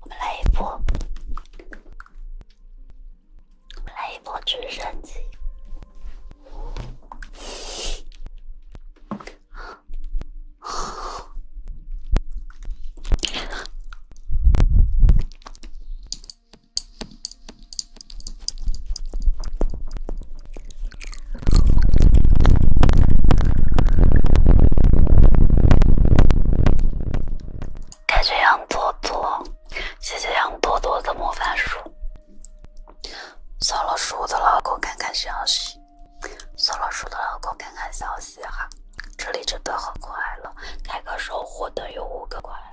我们来一波，我们来一波直升机。感谢杨多多，谢谢杨多多的魔法书。小老鼠的老公看看消息，小老鼠的老公看看消息哈。这里真的很快乐，开个守护灯有五个快乐。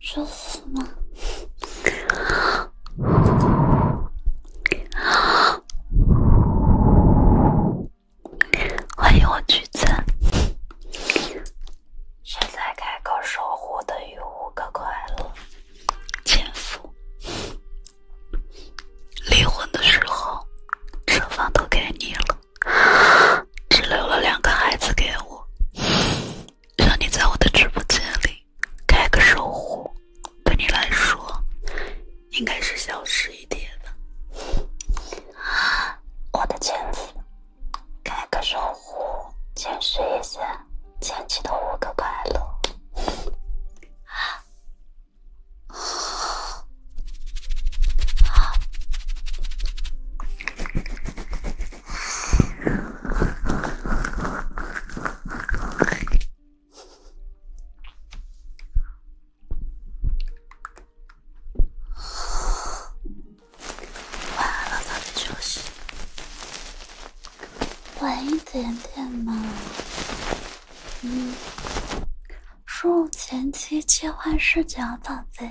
舒服吗？欢迎我橘子。现在开口说，活得于五个快乐。前夫，离婚的时候，车房都给你了。只留了两个孩子给我，让你在我的直播间里开个守护，对你来说应该是小事一点的。我的前妻，开个守护，见识一下前期的五个快乐。啊晚了，早点休息。晚一点点嘛。嗯。输入前期切换视角，宝贝。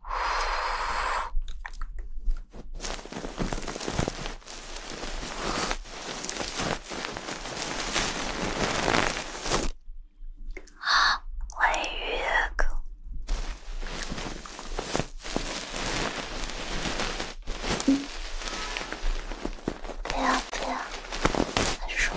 欢迎雨哥。嗯，不要不要，还是说。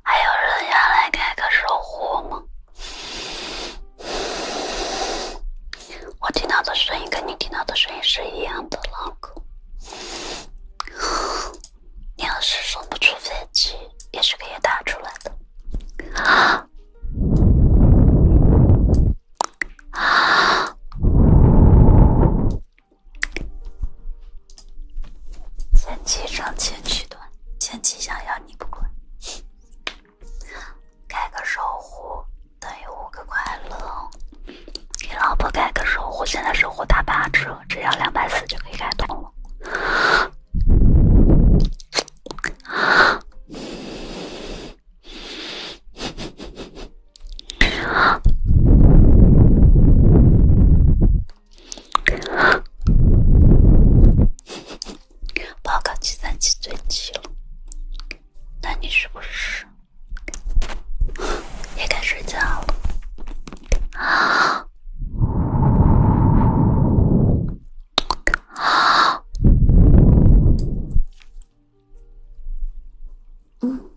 还有人要来开个守护吗？我听到的声音跟你听到的声音是一样的，老公。你要是送不出飞机，也是可以打出来的。前期长钱取断，前期想要你不管。开个守护等于五个快乐，给老婆开个守护，现在守护打八折，只要两百四就可以开通了。报告计算机最急了，那你是不是也该睡觉了？嗯。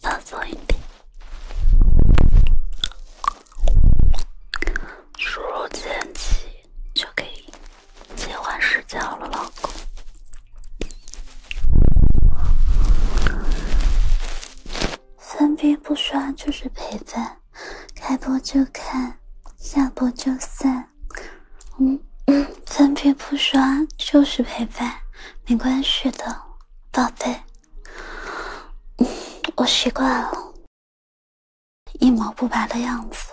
放松一点，输入天气就可以切换视角了，老公。分屏不刷就是陪伴，开播就看，下播就散。嗯，分屏不刷就是陪伴，没关系的，宝贝，我习惯了，一毛不拔的样子。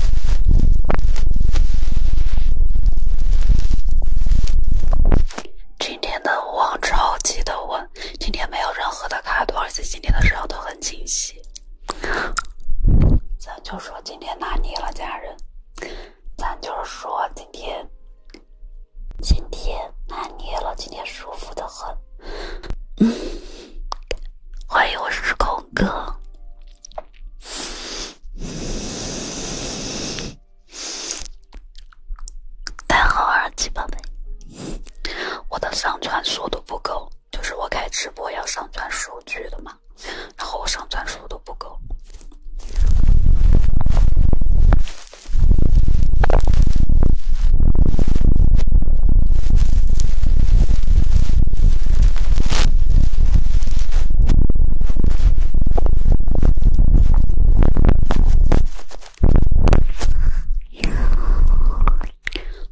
今天的网超级的稳，今天没有任何的卡顿，而且今天的时候都很清晰。咱就说今天拿捏了家人，咱就是说今天，今天拿捏了，今天舒服的很。欢迎我是空哥。戴好耳机吧，贝。我的上传速度不够，就是我开直播要上传数据的嘛，然后我上传速度不够。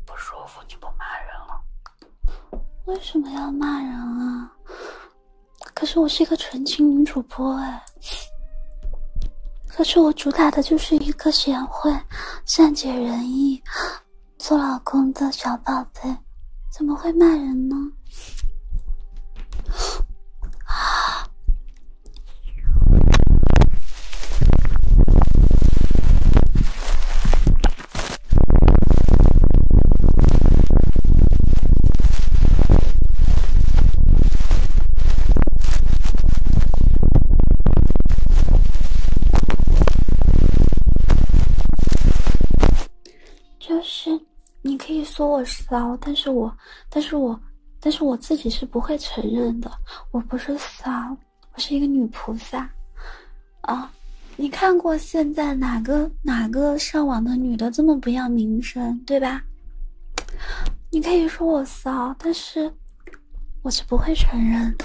不舒服就不骂人了。为什么要骂人啊？可是我是一个纯情女主播哎，可是我主打的就是一个贤惠、善解人意。做老公的小宝贝，怎么会骂人呢？就是，你可以说我骚，但是我，但是我，但是我自己是不会承认的。我不是骚，我是一个女菩萨。啊，你看过现在哪个哪个上网的女的这么不要名声，对吧？你可以说我骚，但是我是不会承认的。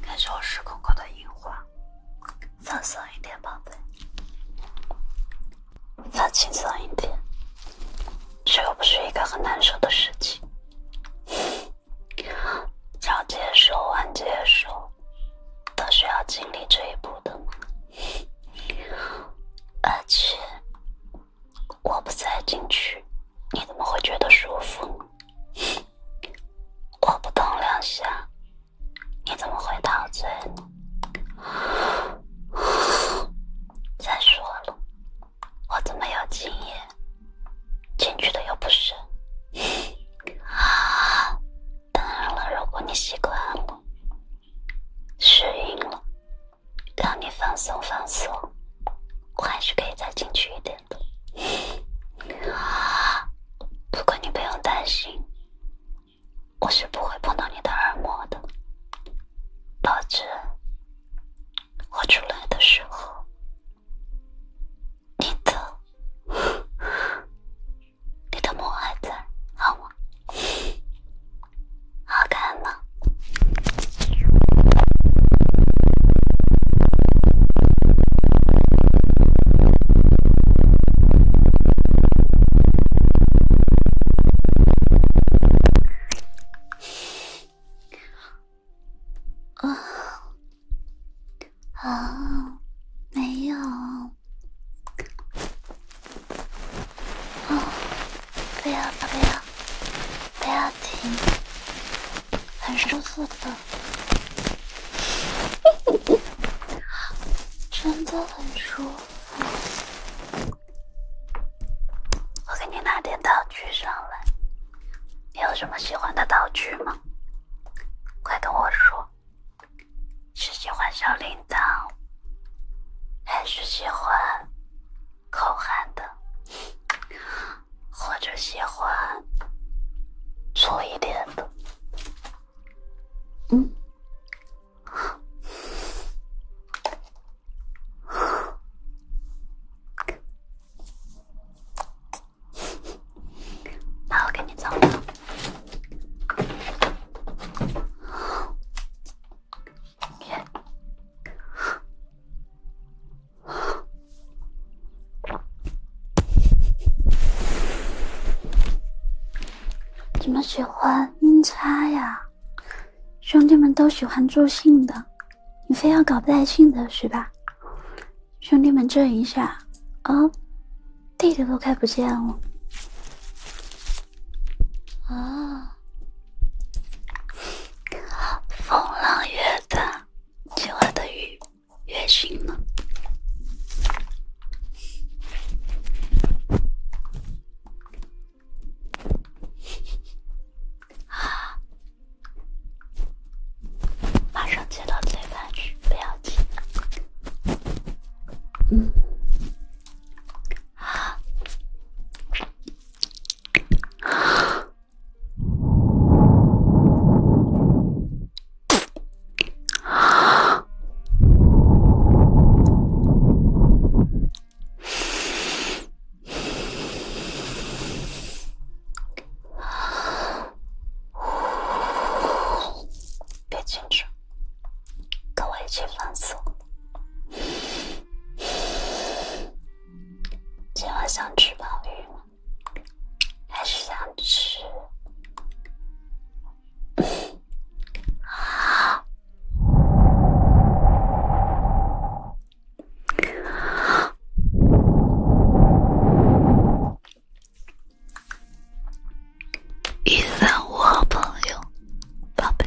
感谢我时空哥的樱花，放松一点，宝贝，再轻松一点。这又不是一个很难受的事情。要接受，要接受，都需要经历这一步的，而且。我不塞进去，你怎么会觉得舒服我不动两下，你怎么会陶醉呢？再说了，我怎么有经验？进去的又不是。啊，当然了，如果你习惯了，适应了。让你放松放松，我还是可以再进去一点的。不过你不用担心，我是不会碰到你的耳膜的。保证我出来的时候，你的你的膜还在，好吗？好看吗？啊没有不要不要！不要停，很舒服的，真的很舒服。我给你拿点道具上来，你有什么喜欢的道具吗？快跟我说，是喜欢小铃铛，还是喜欢？口嗨的，或者喜欢粗一点的，嗯，那我给你找。怎么喜欢阴差呀？兄弟们都喜欢助兴的，你非要搞不带兴的是吧？兄弟们震一下啊！弟弟都看不见了啊！风浪越大，今晚的鱼越凶了。啊！马上接到裁判去，不要紧。嗯。啊。别紧张，跟我一起放松。今晚想吃鲍鱼吗？还是想吃？一三五好朋友，宝贝。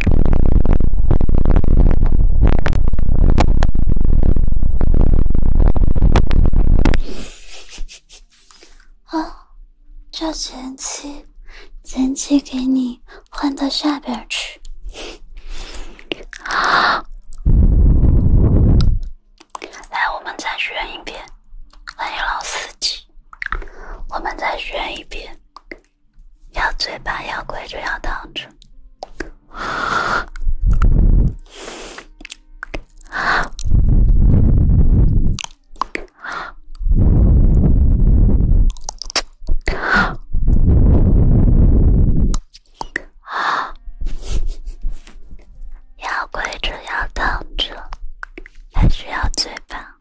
啊，叫前妻，前妻给你换到下边去。啊，来，我们再选一遍，欢迎老司机，我们再选一遍。要嘴巴，要跪着，要躺着，啊，要跪着，要躺着，还是要嘴巴？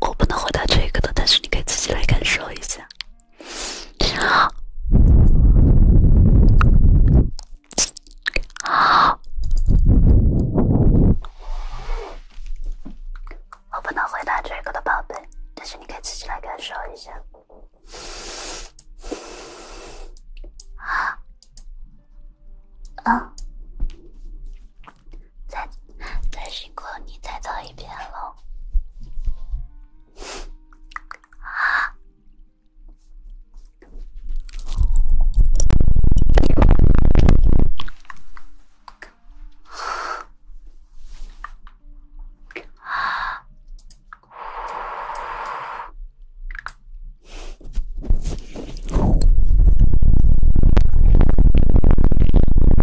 我不能回答这个的，但是你可以自己来感受一下。啊！我不能回答这个的，宝贝，但是你可以自己来感受一下。啊！啊！再再辛苦，你再唱一遍喽！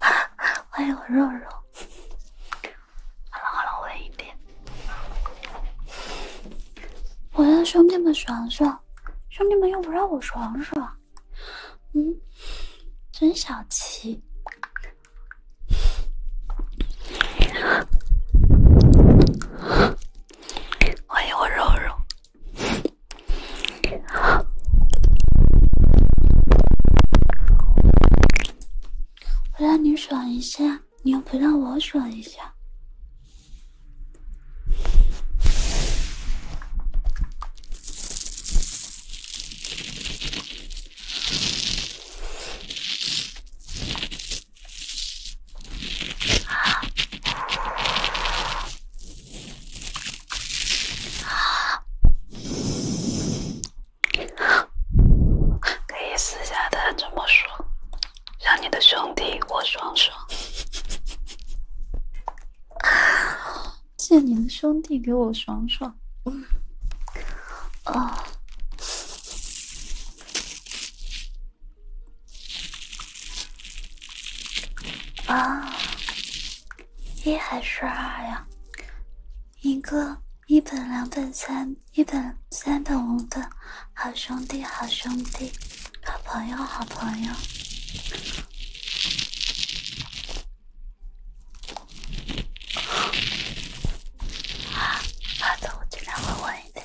哈，欢迎我肉肉。好了好了，稳一点。我让兄弟们爽爽，兄弟们又不让我爽爽。嗯，真小气。欢迎我肉肉。我让你爽一下，你又不让我爽一下。可以私下的这么说，让你的兄弟我爽爽，借你的兄弟给我爽爽。嗯，啊。一还是二呀？一个一本两本三一本三本五本，好兄弟好兄弟，好朋友好朋友。啊，好的，我尽量会晚一点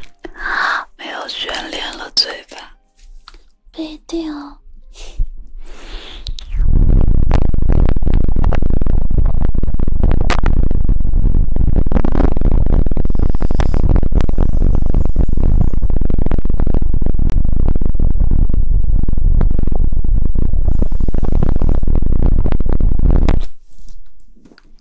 没有悬念了，嘴巴。不一定哦。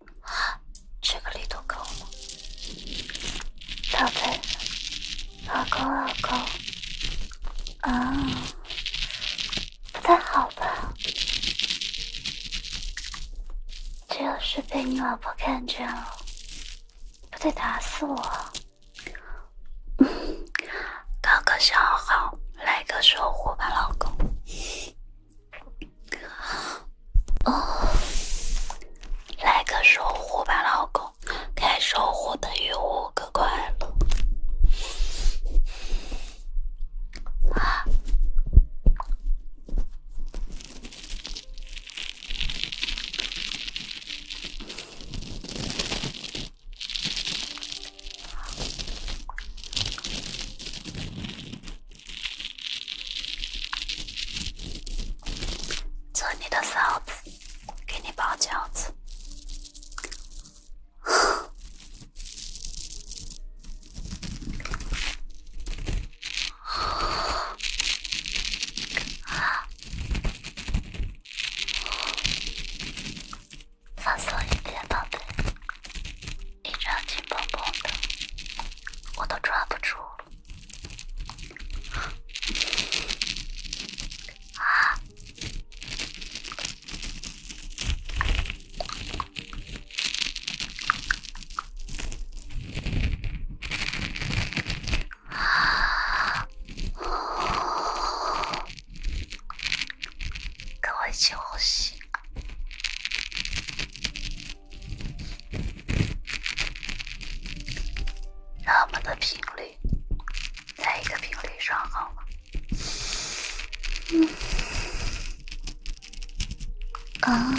这个力度够吗？宝贝，老公，老公，啊，不太好吧？这要是被你老婆看见了，不得打死我？搞个小号来个守护吧，老公。哦，来个守护吧，老公，该守护等于五个快乐啊！做你的嫂子，给你包饺子。啊，放松一点，宝贝。你这样紧绷绷的，我都抓不住了。啊！跟我一起呼吸。让我们的频率在一个频率上好吗？嗯啊。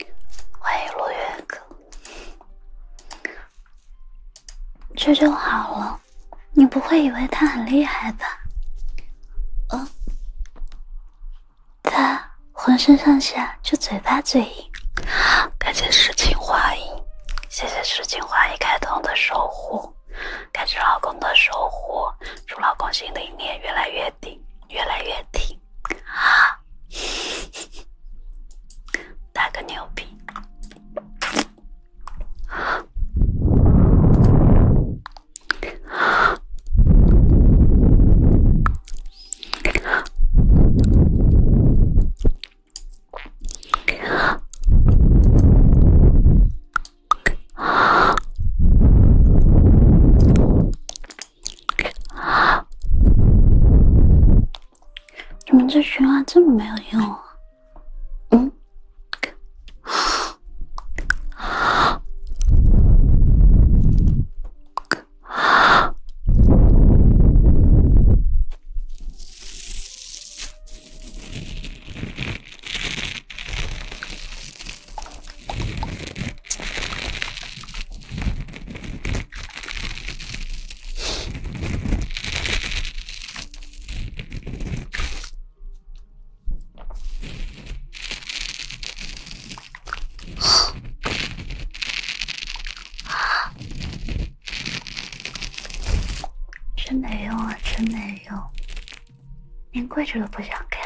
欢迎落月哥，这就好了。你不会以为他很厉害吧？嗯，他浑身上下就嘴巴嘴硬。感谢诗情画意，谢谢诗情画意开通的守护，感谢老公的守护，祝老公心里面越来越顶，越来越挺。啊！来个牛逼！啊！啊！怎么这循环这么没有用啊？嗯。真 没用啊！真没用，连跪着都不想看。